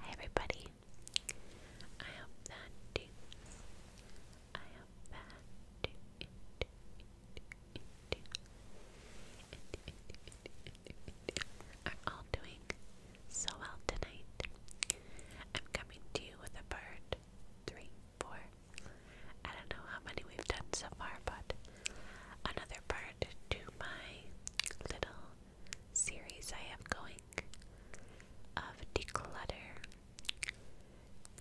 Hi everybody. I hope that I hope that Are all doing so well tonight. I'm coming to you with a bird. Three, four. I don't know how many we've done so far, but another part to my little series I have going of declutter.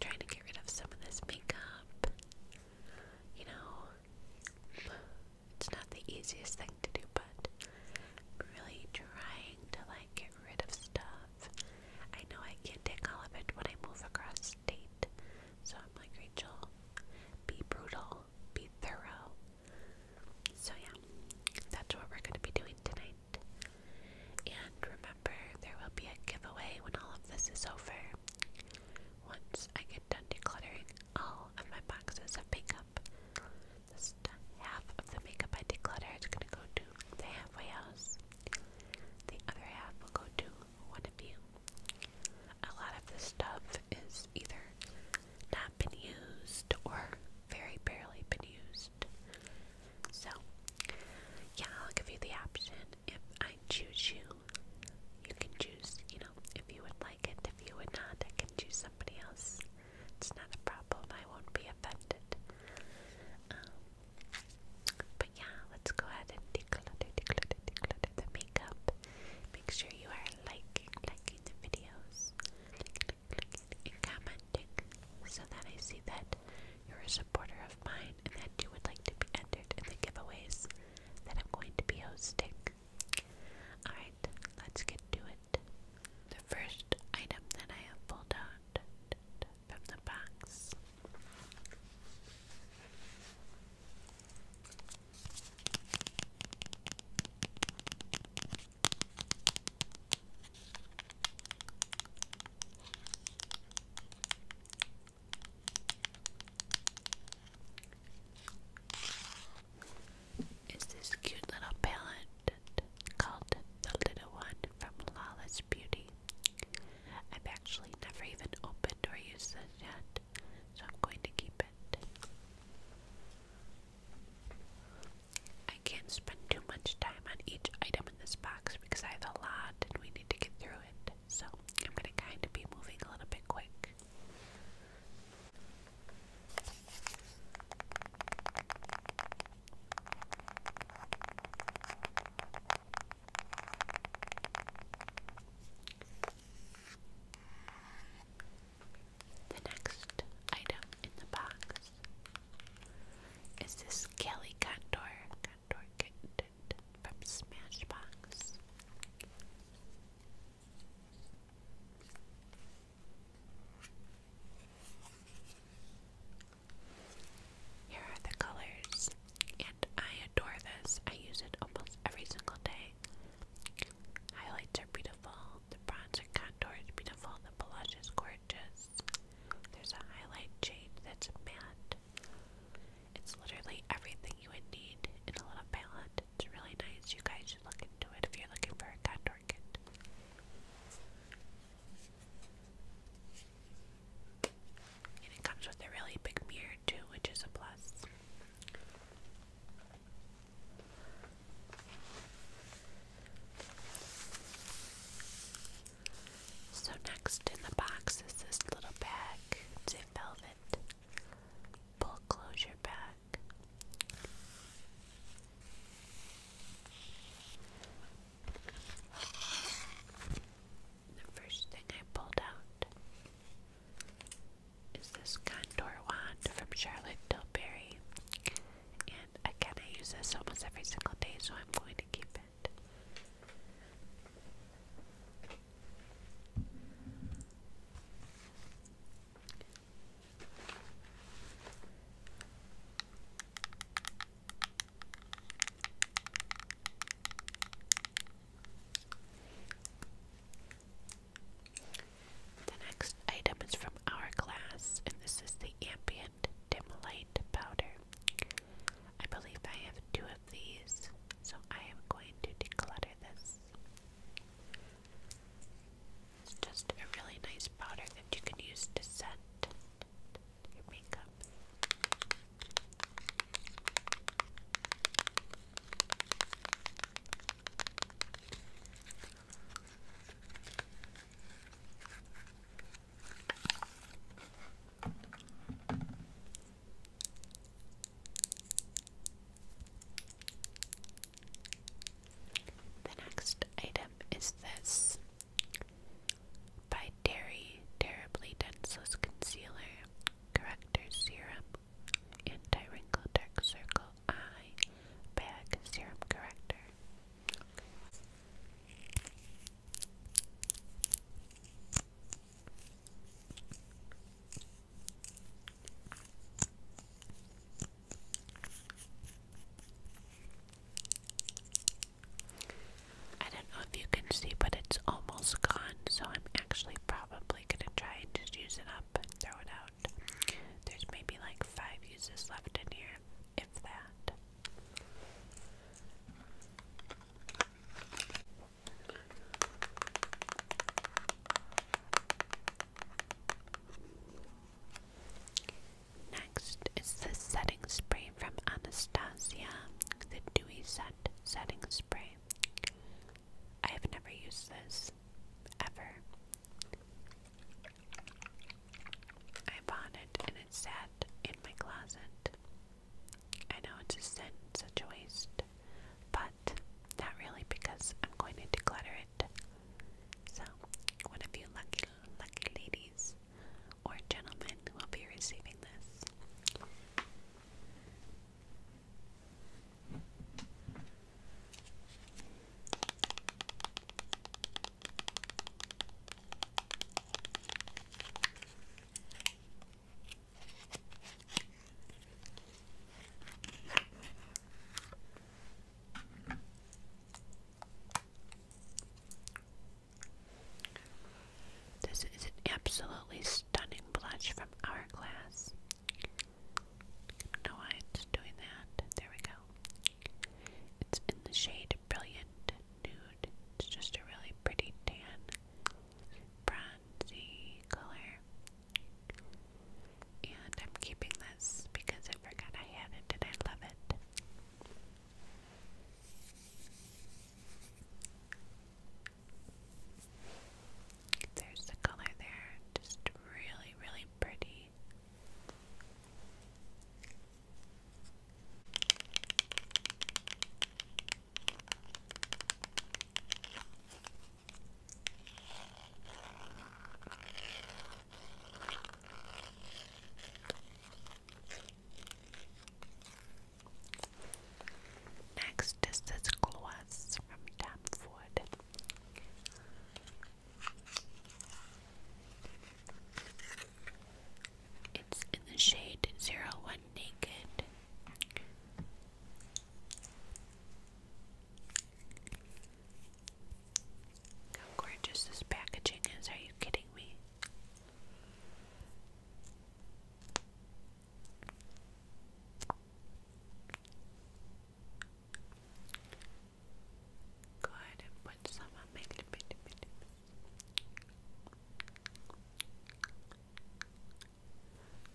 trying to get rid of some of this makeup. You know, it's not the easiest thing to do, but i really trying to like get rid of stuff. I know I can't take all of it when I move across state, so i Rachel, be brutal, be thorough. So, yeah, that's what we're going to be doing tonight. And remember, there will be a giveaway when all of this is over. Once I get done decluttering all of my boxes of makeup, this half of the makeup I declutter is going to go to the halfway house. The other half will go to one of you. A lot of this stuff is either not been used or very barely been used. So, yeah, I'll give you the option. If I choose you, you can choose, you know, if you would like it. If you would not, I can choose somebody else. It's not a problem. I won't be offended. Um, but yeah, let's go ahead and declutter, declutter, declutter the makeup. Make sure you are liking, liking the videos, like, like, like, and commenting, so that I see that you're a supporter of mine and that you would like to be entered in the giveaways that I'm going to be hosting. Alright, let's get to it. The first item that I have pulled out from the box it's this cute little palette called The Little One from Lawless Beauty. I've actually never even opened or used it yet so I'm going to keep it. I can't spend too much time on each item in this box because I have a lot and we need to get through it, so I'm going to kind of be moving a little bit quick. The next item in the box is this Kelly Condor from Smashbox. Here are the colors I adore this. I use it almost every single day. Highlights are beautiful, the bronzer contour is beautiful, the blush is gorgeous. There's a highlight shade that's matte. It's literally everything you would need in a little palette. It's really nice. You guys should look into it if you're looking for a contour kit it comes with a really big mirror too, which is a plus. So next in the box is this little bag. It's in velvet. Full closure bag. The first thing I pulled out is this Condor wand from Charlotte Tilbury. And again, I use this almost every single day, so I'm going to keep it. The next item is from Hourglass, and this is the Ambient Dim Light Powder. I believe I have two of these, so I am going to declutter this. It's just a really nice powder that you can use to set the next item is this by Dairy Terribly Denseless Concealer, Corrector Serum, Anti-Wrinkle Dark Circle Eye Bag Serum Corrector. I don't know if you can see, but it's almost gone, so I'm actually probably gonna try and just use it up and throw it out. There's maybe like five uses left in here, if that. Next is the setting spray from Anastasia, the Dewy Set Setting Spray. I have never used this, ever. I bought it and it sat in my closet. I know it's a scent, such a waste, but not really because I'm going to declutter it. So, one of you lucky, lucky ladies or gentleman will be receiving this. This is an absolutely stunning blush from Hourglass. I don't doing that. There we go. It's in the shade Brilliant Nude. It's just a really pretty tan, bronzy color. And I'm keeping this because I forgot I had it and I love it. There's the color there, just really, really pretty. Next is this gloss from Tapwood. It's in the shade 01 Naked. How gorgeous this packaging is, are you kidding me? Go ahead and put some on my lip, lip, lip, lip.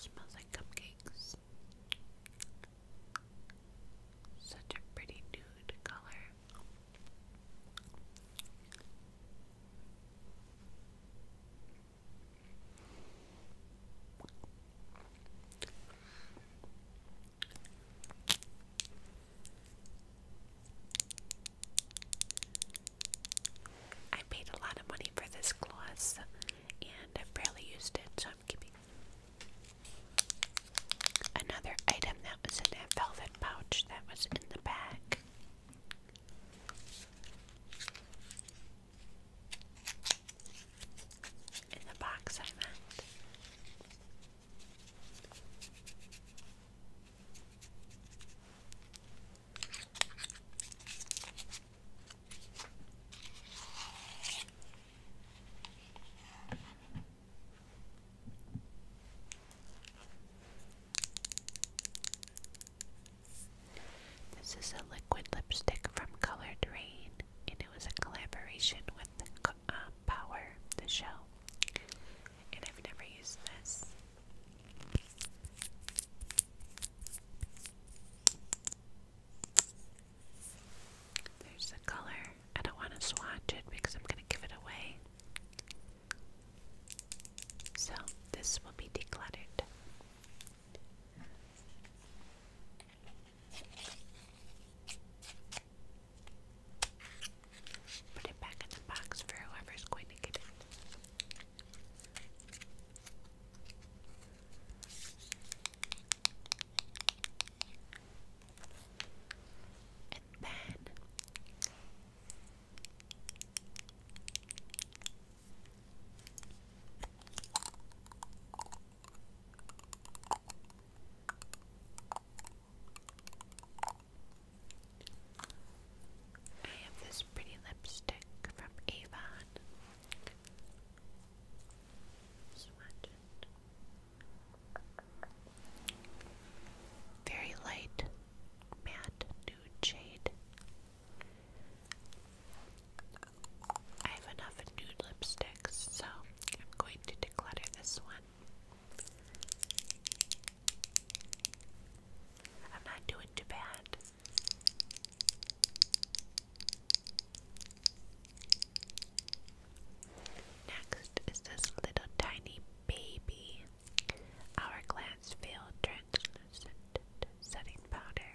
Smells like cupcakes. Such a pretty nude color. I paid a lot of money for this gloss and I've barely used it, so I'm keeping Another item that was in that velvet pouch that was in the bag. In the box, I meant. This is a liquid lipstick from Colored Rain, and it was a collaboration with uh, Power, the show. And I've never used this. There's the color I don't want to swatch it because I'm going to give it away. So, this will be decluttered. Put it back in the box for whoever's going to get it. And then I have this pretty lipstick from Avon. Swatch it. Very light matte nude shade. I have enough nude lipsticks, so I'm going to declutter this one. I'm not doing too bad. Next is this little tiny baby. Hourglass veil translucent setting powder.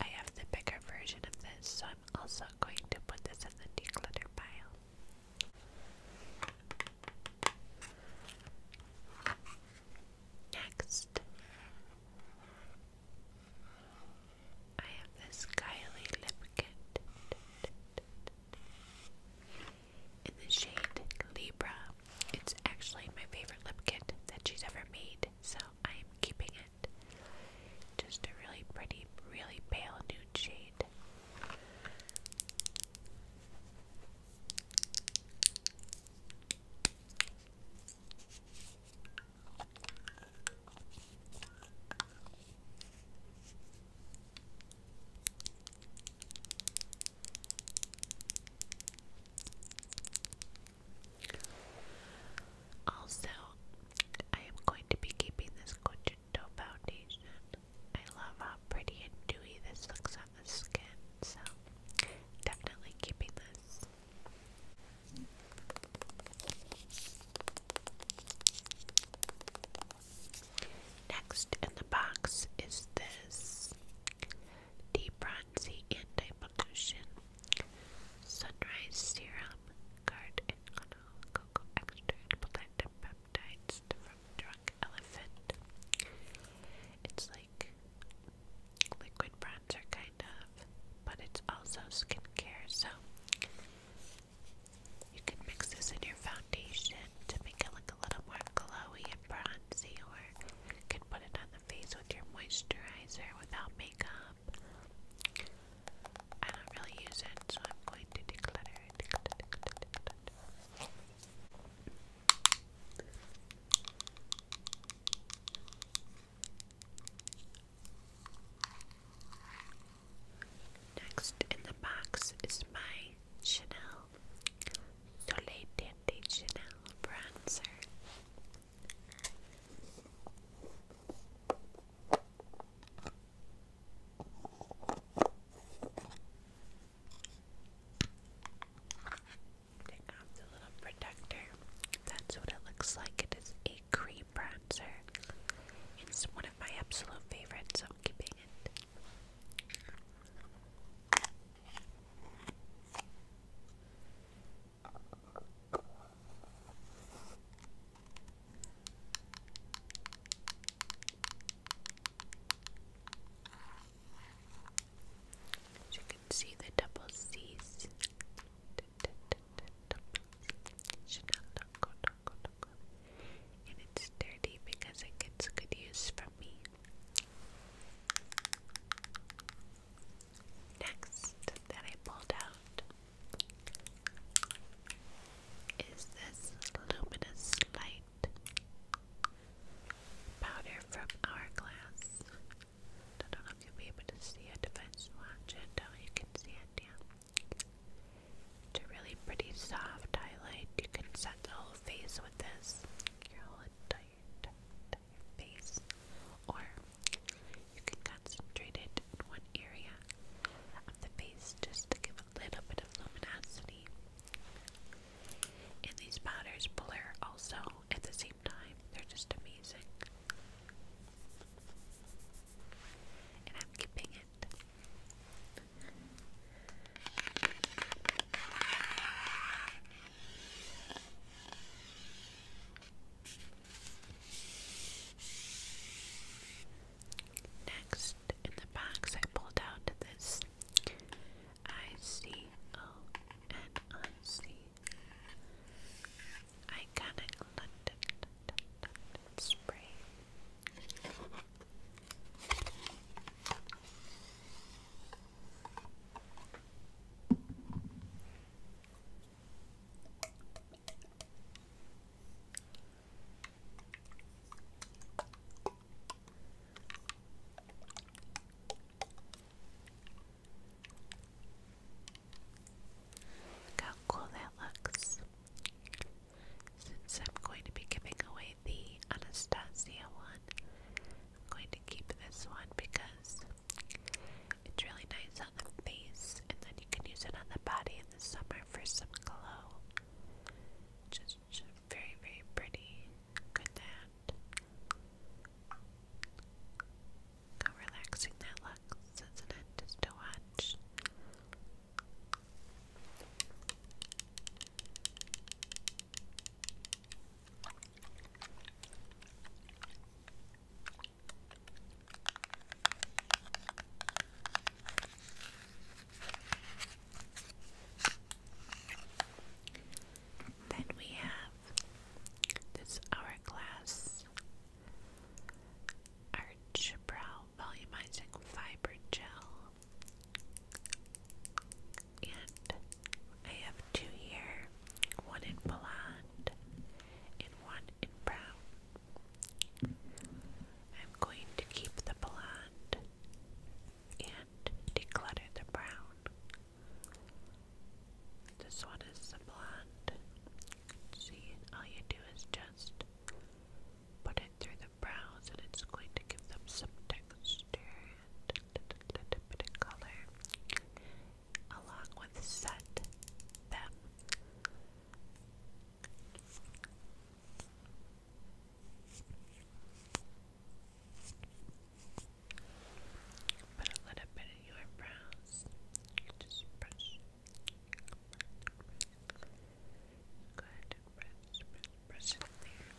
I have the bigger version of this, so I'm also going to put this in the declutter pile. Next I have this Kylie lip kit in the shade Libra. It's actually my favorite lip kit that she's ever made, so I am keeping it. Just a really pretty, really pale nude shade. Also, I am going to be keeping this Conchito foundation. I love how pretty and dewy this looks on the skin, so definitely keeping this. Next in the box is this debronzy anti pollution sunrise serum guard and cocoa extract protective peptides from drunk elephant. It's like liquid bronzer kind of, but it's also skincare, so you can mix this in your foundation to make it look a little more glowy and bronzy, or you can put it on the face with your moisturizer without makeup. I don't really use it, so I'm going to declutter it. Next in the box is my Chanel Soleil Dandy Chanel bronzer. Take off the little protector. That's what it looks like. It is a cream bronzer. It's one of my absolute favorites, so I'm keeping it. As you can see the double C's. And it's dirty because it gets good use from me. Next that I pulled out is this luminous light powder from Hourglass you'll be able to see a defense watch, and Oh, you can see it, yeah. It's a really pretty soft highlight. You can set the whole face with this. Your whole entire face. Or you can concentrate it in one area of the face just to give a little bit of luminosity. And these powders blur also at the same time. They're just amazing and i Next, in the box, I pulled out this I C O N I C Iconic London, Spray. Look how cool that looks. Since I'm going to be giving away the Anastasia one, I'm going to keep this one because it's really nice on the face, and then you can use it on the body in the summer for some glow. Just, very, very pretty. Good that. How relaxing that looks, isn't it? Just to watch. Then we have this hourglass arch brow volumizing fiber gel. And I have two here, one in blonde and one in brown. I'm going to keep the blonde and declutter the brown. This one is the blonde. See, all you do is just put it through the brows, and it's going to give them some texture and color, along with set them. Put a little bit in your brows. Just brush. Good. Brush, brush, brush it there.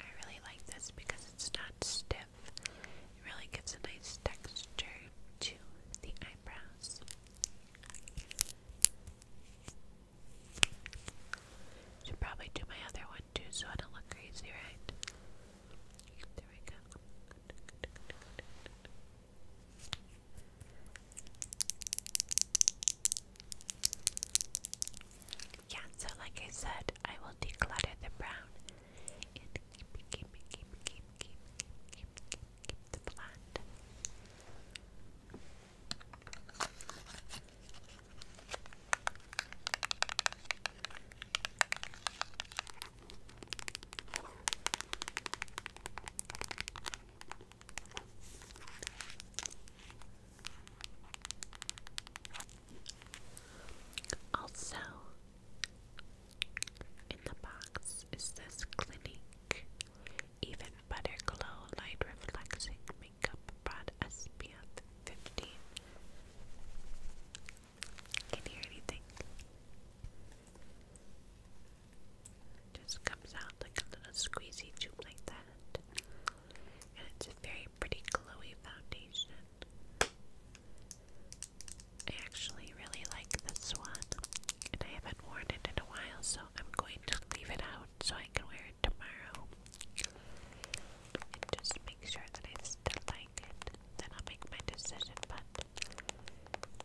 I really like this because it's not stiff. It really gives a nice texture to the eyebrows. Should probably do my other one too so I don't look crazy, right? There we go. Yeah, so like I said, I will declutter the brown and keep, Also, in the box is this Clinique Even Better Glow Light Reflecting Makeup Broad SPF 15. Can you hear anything? Just comes out like a little squeezy tube like that. And it's a very pretty glowy foundation. I actually really like this one, and I haven't worn it in a while, so I'm going to leave it out so I can wear it tomorrow. And just make sure that I still like it, then I'll make my decision. But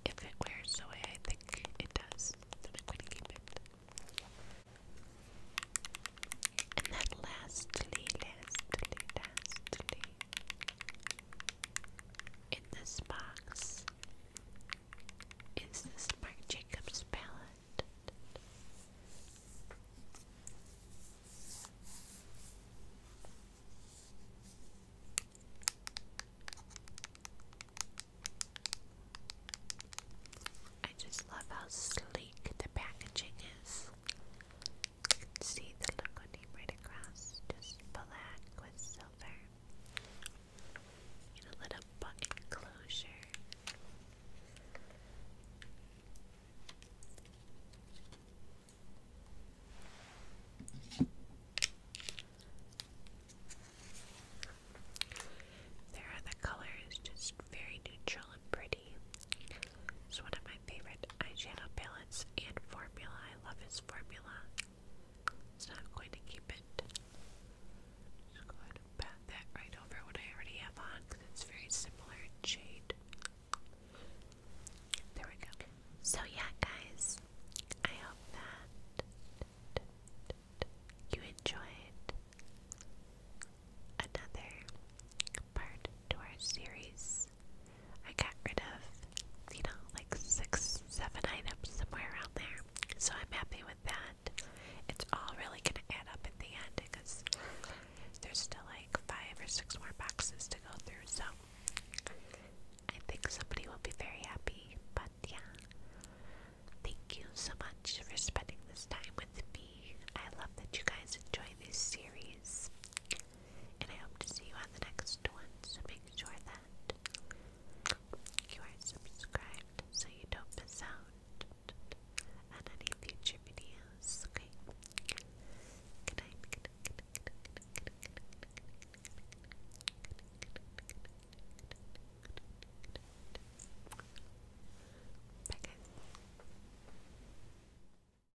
if it wears the I think it does, I'm going to keep it. And then lastly, lastly, lastly, in this box is this Mark Jacobs palette. I just love how sleek the packaging is. You can see the Lagoon right across, just black with silver. And a little butt enclosure. There are the colors, just very neutral and pretty. It's one of my favorite eyeshadow palettes and formula I love this formula. So i going to keep it. Just go ahead and pat that right over what I already have on it's very similar shade. There we go. So yeah, guys, I hope that you enjoyed another part to our series I got rid of, you know, like six, seven items somewhere around there. So I'm happy with that. It's all really gonna add up at the end because there's still like five or six more boxes to go through. So I think somebody will be very happy. But yeah, thank you so much for spending this time with me. I love that you guys enjoy this series and I hope to see you on the next one. So make sure that you are subscribed so you don't miss out on any future videos. Okay. Good night. Bye guys.